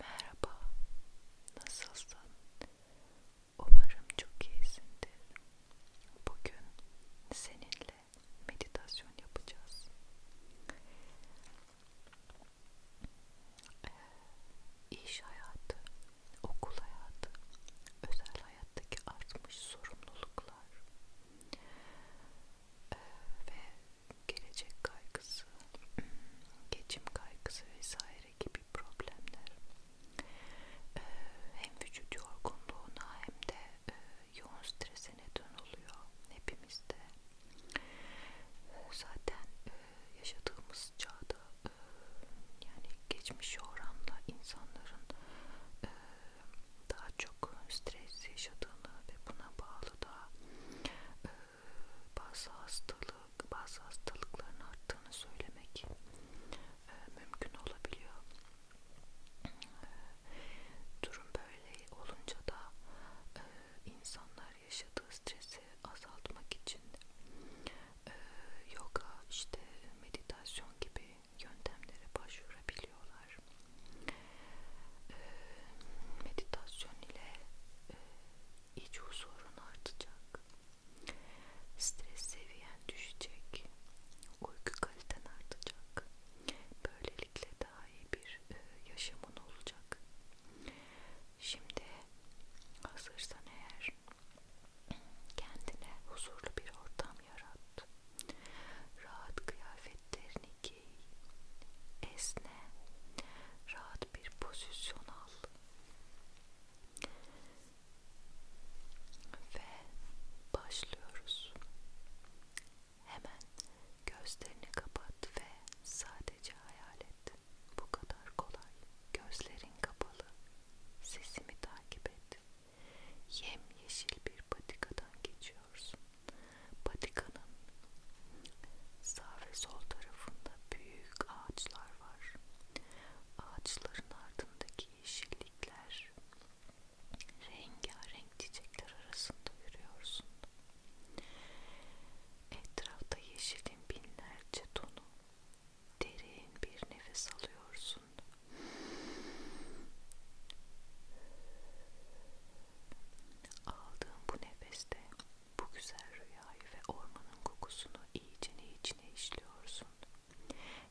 Merhaba, nasılsın? Umarım çok iyisindir. Bugün seninle meditasyon yapacağız. Ee, iş hayatı, okul hayatı, özel hayattaki artmış sorumluluklar ee, ve gelecek kaygısı, geçim kaygısı vesaire gibi problemler hem vücut yorgunluğuna hem de yoğun strese neden oluyor hepimizde. Zaten yaşadığımız çağda yani geçmiş oranla insanların daha çok stres yaşadığını ve buna bağlı da bazı hastalık, bazı hastalıkların arttığını söylemek e, mümkün olabiliyor. E, durum böyle olunca da e, insanlar yaşadığı stresi azaltmak için e, yoga, işte meditasyon gibi yöntemlere başvurabiliyorlar. E, meditasyon ile e, iç huzurun artacak. Stres seviyen düşecek. Uyku kaliten artacak. Böylelikle daha iyi bir e, yaşamın olacak. Şimdi hazırsan eğer kendine huzurlu bir ortam yarat. Rahat kıyafetlerini giy. Esne. Rahat bir pozisyona ve başlıyoruz. Hemen gözlerini kapat ve sadece hayal et. Bu kadar kolay. Gözlerin kapalı. Sesimi takip et. Yemyeşil bir patikadan geçiyorsun. Patikanın sağ ve sol tarafında büyük büyük ağaçlar var. Ağaçların ardındaki yeşillikler, rengarenk çiçekler arasında yürüyorsun. Etrafta yeşilin binlerce tonu, derin bir nefes alıyorsun. Aldığın bu nefeste bu güzel rüyayı ve ormanın kokusunu iyicene içine işliyorsun.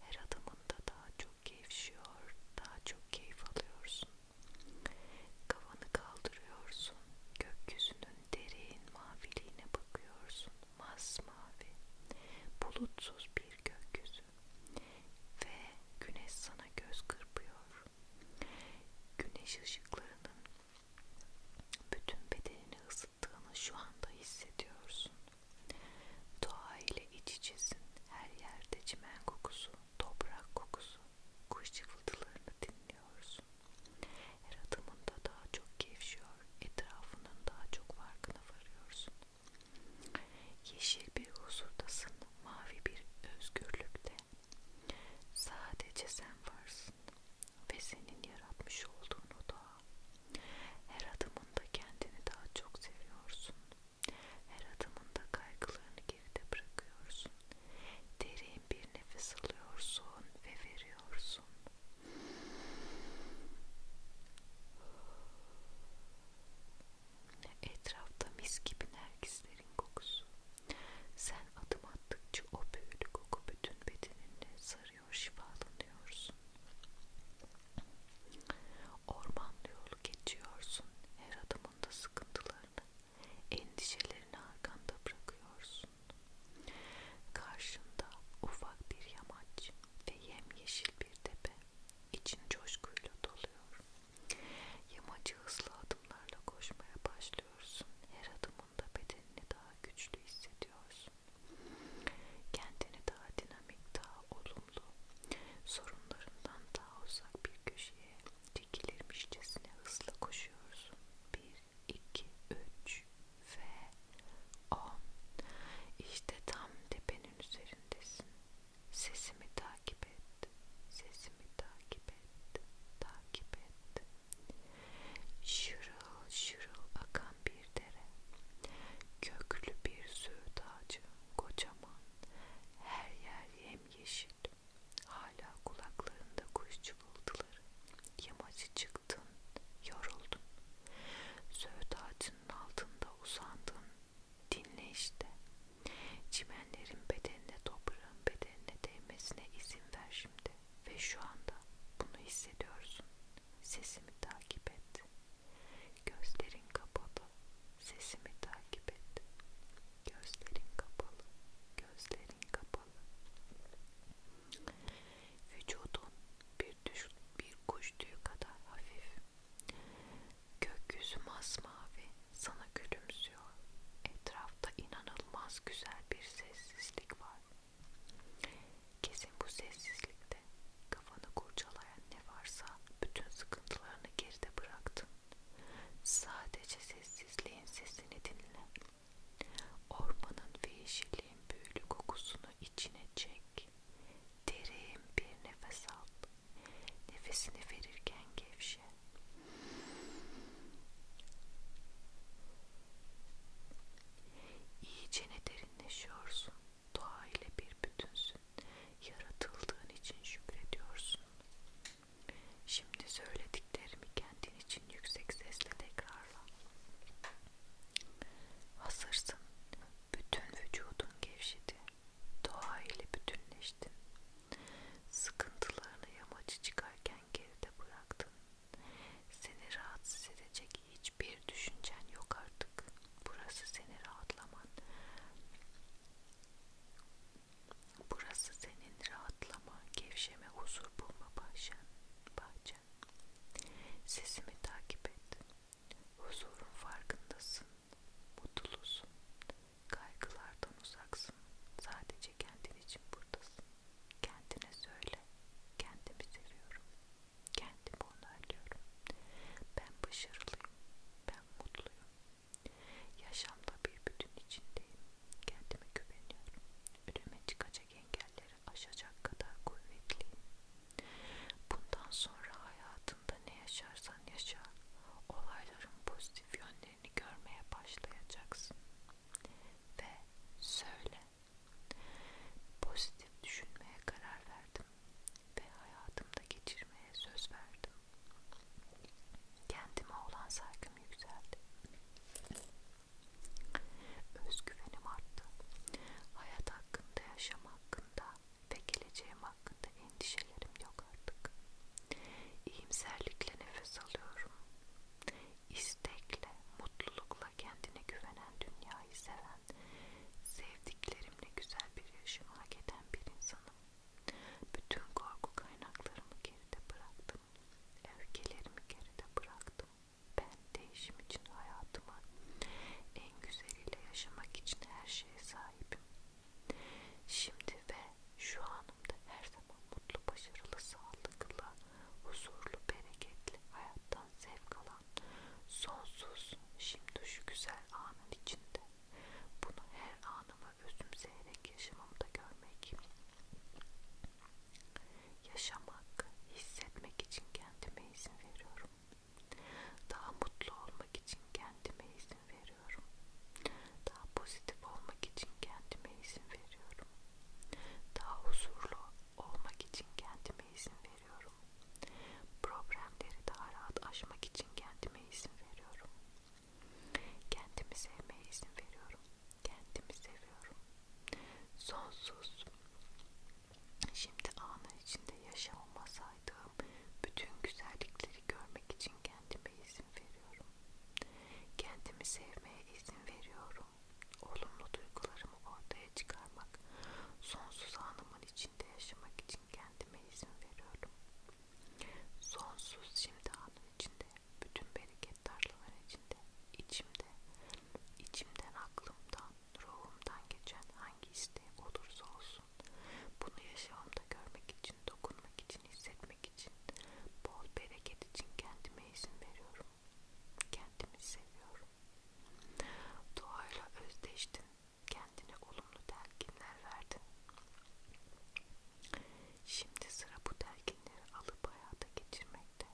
Her adımında daha çok gevşiyor, daha çok keyif alıyorsun. Kafanı kaldırıyorsun, gökyüzünün derin maviliğine bakıyorsun, masmavi, bulutsuz bir gökyüzü ve güneş sana göz kırpıyor. Güneş ışıklarının bütün bedenini ısıttığını şu anda hissediyorsun. Doğa ile iç içesin. Her yerde çimen kokusu, toprak kokusu, kuş cıvıltılarını dinliyorsun. Her adımında daha çok gevşiyor, etrafının daha çok farkına varıyorsun. Yeşil bir huzurdasın, mavi bir özgürlükte. Sadece sen varsın ve senin yaratmış olduğun o doğa. Her adımında kendini daha çok seviyorsun. Her adımında kaygılarını geride bırakıyorsun. Derin bir nefes alıyorsun ve veriyorsun. Etrafta mis gibi nergislerin kokusu sen adım attıkça o büyülü koku bütün bedenini sarıyor, şifalanıyorsun. Orman yolu geçiyorsun, her adımında sıkıntılarını, endişelerini arkanda bırakıyorsun. Karşında ufak bir yamaç ve yemyeşil bir tepe, için coşkuyla doluyor. Yamacı hızlı adımlarla koşmaya başlıyorsun, her adım anlamında bedenini daha güçlü hissediyorsun. Kendini daha dinamik, daha olumlu, sorunlarından daha uzak bir köşeye dikilirmişçesine hızla koşuyorsun. 1, 2, 3 ve 10. İşte tam tepenin üzerindesin. Sesimi takip et, sesimi takip et, takip et. Şırıl şırıl akan bir dere, köklü bir söğüt ağacı, kocaman, her yer yemyeşil. Hala kulaklarında kuş cıvıltıları. Yamacı çıktın, yoruldun. Söğüt ağacının altında uzandın, dinle işte. Çimenlerin bedenine, toprağın bedenine değmesine izin ver şimdi ve şu anda bunu hissediyorsun. Sesimi takip et. Gözlerin kapalı. Sesimi takip et. Gözlerin kapalı. Gözlerin kapalı. Vücudun bir, düş, bir kuş tüyü kadar hafif. Gökyüzü masmavi sana gülümsüyor. Etrafta inanılmaz güzel bir sessizlik var. Kesin bu sessizlikte kafanı kurcalayan ne varsa bütün sıkıntılarını geride bıraktın. Sadece sessizliğin sesini dinle. Ormanın ve yeşilliğin büyülü kokusunu içine çek. Derin bir nefes al. Nefesini verirken gevşe. İyicene derinleşiyorsun. Doğa ile bir bütünsün. Yaratıldığın için şükrediyorsun. Şimdi söylediklerimi kendin için yüksek sesle tekrarla. Hazırsın. Bütün vücudun gevşedi. Doğa ile bütünleştin. Sıkıntılarını yamacı çıkarken geride bıraktın. Seni rahatsız edecek hiçbir düşüncen yok artık. Burası seni rahatlaman. Burası senin rahatlama, gevşeme, huzur bulma bahçen. bahçen. Sesimi takip et. Huzurun farkındasın. Mutlusun. Kaygılardan uzaksın. Sadece kendin için buradasın. Kendine söyle, kendimi seviyorum, kendimi onaylıyorum. Ben başarılıyım, ben mutluyum. Yaşamda bir bütün içindeyim, kendime güveniyorum. Önüme çıkacak engelleri aşacak kadar kuvvetliyim. Bundan sonra hayatında ne yaşarsan yaşa, olayların pozitif yönlerini görmeye başlayacaksın. Ve söyle, Pozitif düşünmeye karar verdim ve hayatımda geçirmeye söz verdim. Kendime olan saygım yükseldi. Özgüvenim arttı. Hayat hakkında, yaşam hakkında ve geleceğim hakkında endişelerim yok artık. İyimserlikle nefes alıyorum istekle, mutlulukla kendine güvenen, dünyayı seven, sevdiklerimle güzel bir yaşamı hak eden bir insanım. Bütün korku kaynaklarımı geride bıraktım. Öfkelerimi geride bıraktım. Ben değişim için hayatımı en güzeliyle yaşamak için her şeye sahibim. Şimdi ve şu anımda her zaman mutlu, başarılı, sağlıklı, huzurlu, bereketli, hayattan zevk alan, sonsuz, şimdi şu güzel anın içinde. Bunu her anıma özümseyerek yaşamamda görmek. Yaşamak, hissetmek için kendime izin veriyorum. Daha mutlu olmak için kendime izin veriyorum. Daha pozitif olmak için kendime izin veriyorum. Daha huzurlu, olmak için kendime izin veriyorum. Problemleri daha rahat aşmak için kendime izin veriyorum. Kendimi sevmeye izin veriyorum. Kendimi seviyorum. Sonsuz. Şimdi anın içinde yaşamasaydım bütün güzellikleri görmek için kendime izin veriyorum. Kendimi sevmeye izin veriyorum olumlu duygularımı ortaya çıkarmak, sonsuz anımın içinde yaşamak için kendime izin veriyorum. Sonsuz şimdi anın içinde, bütün bereket tarlaların içinde, içimde, içimden, aklımdan, ruhumdan geçen hangi isteğim olursa olsun, bunu yaşamımda görmek için, dokunmak için, hissetmek için, bol bereket için kendime izin veriyorum. Kendimi seviyorum. Doğayla özdeştin. Kendine olumlu telkinler verdin. Şimdi sıra bu telkinleri alıp hayata geçirmekte.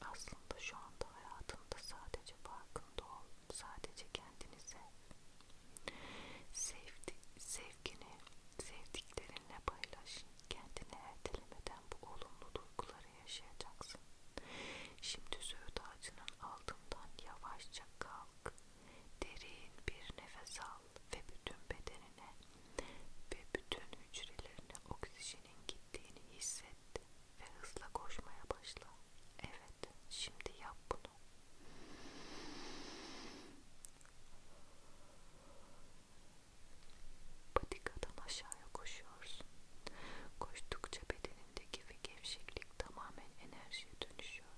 Aslında şu anda hayatında sadece farkında ol. Sadece kendini sev. Sevdi, sevgini sevdiklerinle paylaş. Kendini ertelemeden bu olumlu duyguları yılları yaşayacaksın. Şimdi söğüt ağacının altından yavaşça kalk. Derin bir nefes al ve bütün bedenine ve bütün hücrelerine oksijenin gittiğini hisset ve hızla koşmaya başla. Evet, şimdi yap bunu. Patikadan aşağıya koşuyorsun. Koştukça bedenindeki ve gevşeklik tamamen enerjiye dönüşüyor.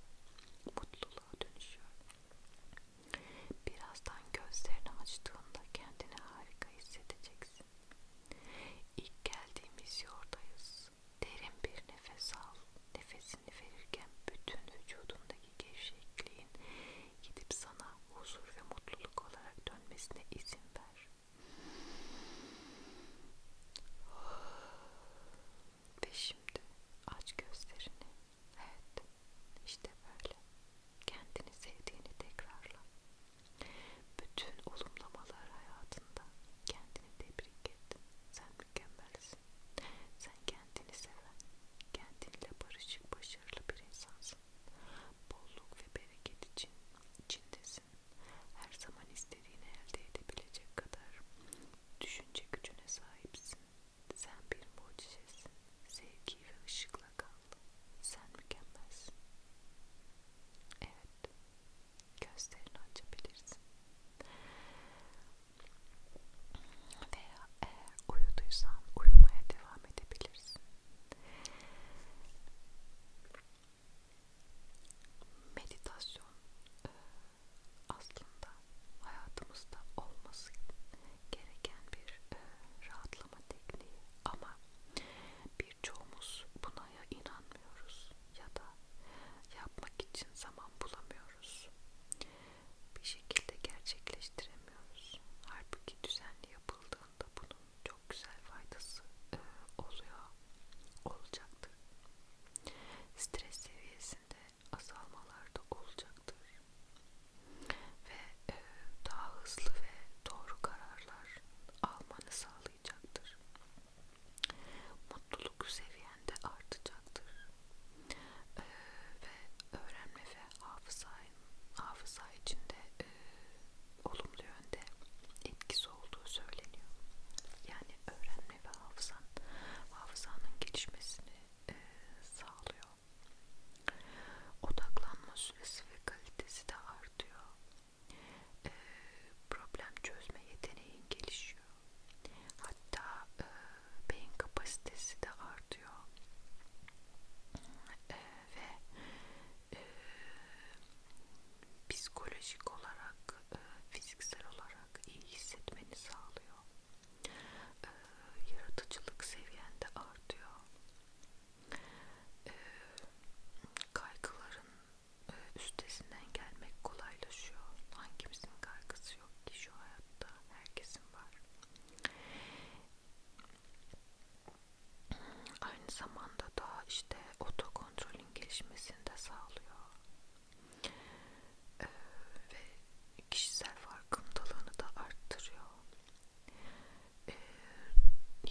Mutluluğa dönüşüyor. Birazdan gözlerini açtığında kendini harika hissedeceksin. İlk geldiğimiz yordayız. Derin bir nefes al. Nefesini verirken bütün vücudundaki gevşekliğin gidip sana huzur ve mutluluk olarak dönmesine izin ver. Ve şimdi aç gözlerini. Evet, işte böyle. Kendini sevdiğini tekrarla. Bütün olumlamalar hayatında kendini tebrik et. Sen mükemmelsin. Sen kendini seven, kendinle barışık, başarılı bir insansın. Bolluk ve bereket için içindesin. Her zaman istediğini elde edebilecek kadar düşünce gücüne sahipsin. Sen bir mucizesin. Sevgi ve ışıkla kal. Sen mükemmelsin. Evet. Gözlerini açabilirsin. Veya eğer uyuduysan uyumaya devam edebilirsin. Meditasyon e, aslında hayatımızda olması gereken bir e, rahatlama tekniği ama birçoğumuz buna ya inanmıyoruz ya da yapmak için zaman bulamıyoruz. Bir şekilde gerçekleştiremiyoruz. Halbuki düzenli yapıldığında bunun çok güzel faydası e, oluyor olacaktır. Stres seviyesinde azalmalar da olacaktır ve e, daha hızlı ve doğru kararlar almanı sağlayacaktır. Mutluluk seviyende artacaktır e, ve öğrenme ve hafıza hafıza içinde e, olumlu yönde etkisi olduğu söyleniyor. Yani öğrenme ve hafızan, hafızanın gelişmesini e, sağlıyor. Odaklanma süresi ve kalitesi de artıyor. E, problem çözme yeteneğin gelişiyor. Hatta e, beyin kapasitesi de artıyor. E, ve e, psikolojik olarak, e, fiziksel olarak iyi hissetmeni sağlıyor. E, yaratıcılık seviyende artıyor. E, kaygıların e, üstesinden gelmek kolaylaşıyor. Hangimizin kaygısı yok ki şu hayatta? Herkesin var aynı zamanda da işte otokontrolün gelişmesini de sağlıyor ee, ve kişisel farkındalığını da arttırıyor ee,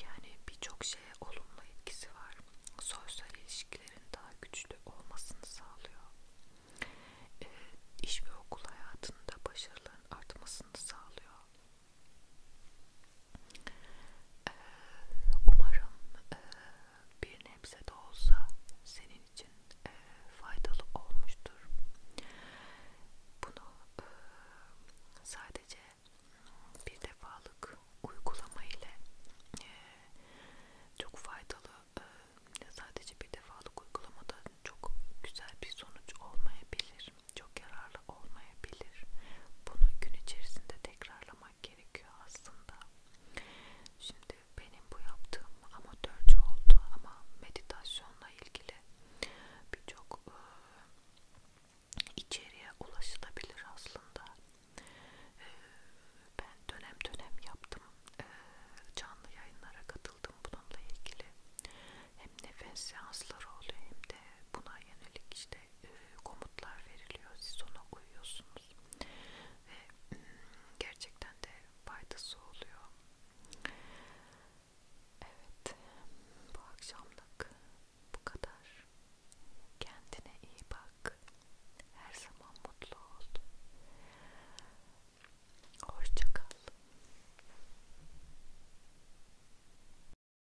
yani birçok şeye olumlu etkisi var sosyal ilişkilerin daha güçlü olmasını sağlıyor ee, iş ve okul hayatında başarıların artmasını sağlıyor ee, umarım e, bir nebze de olsa senin için e, faydalı olmuştur. Bunu e, sadece bir defalık uygulama ile çok faydalı sadece bir defalık uygulamada çok güzel bir sonuç olmayabilir çok yararlı olmayabilir. Bunu gün içerisinde tekrarlamak gerekiyor aslında. Şimdi benim bu yaptığım amatörce oldu ama meditasyonla ilgili birçok e, içeriye ulaşılabilir aslında. E, ben dönem dönem yaptım. E, canlı yayınlara katıldım bununla ilgili. Hem nefes seansları oluyor hem de buna yönelik işte e, komutlar veriliyor. Siz ona uyuyorsunuz. Ve hmm, gerçekten de faydası oluyor. Evet. Bu akşamlık bu kadar. Kendine iyi bak. Her zaman mutlu ol. Hoşça kal.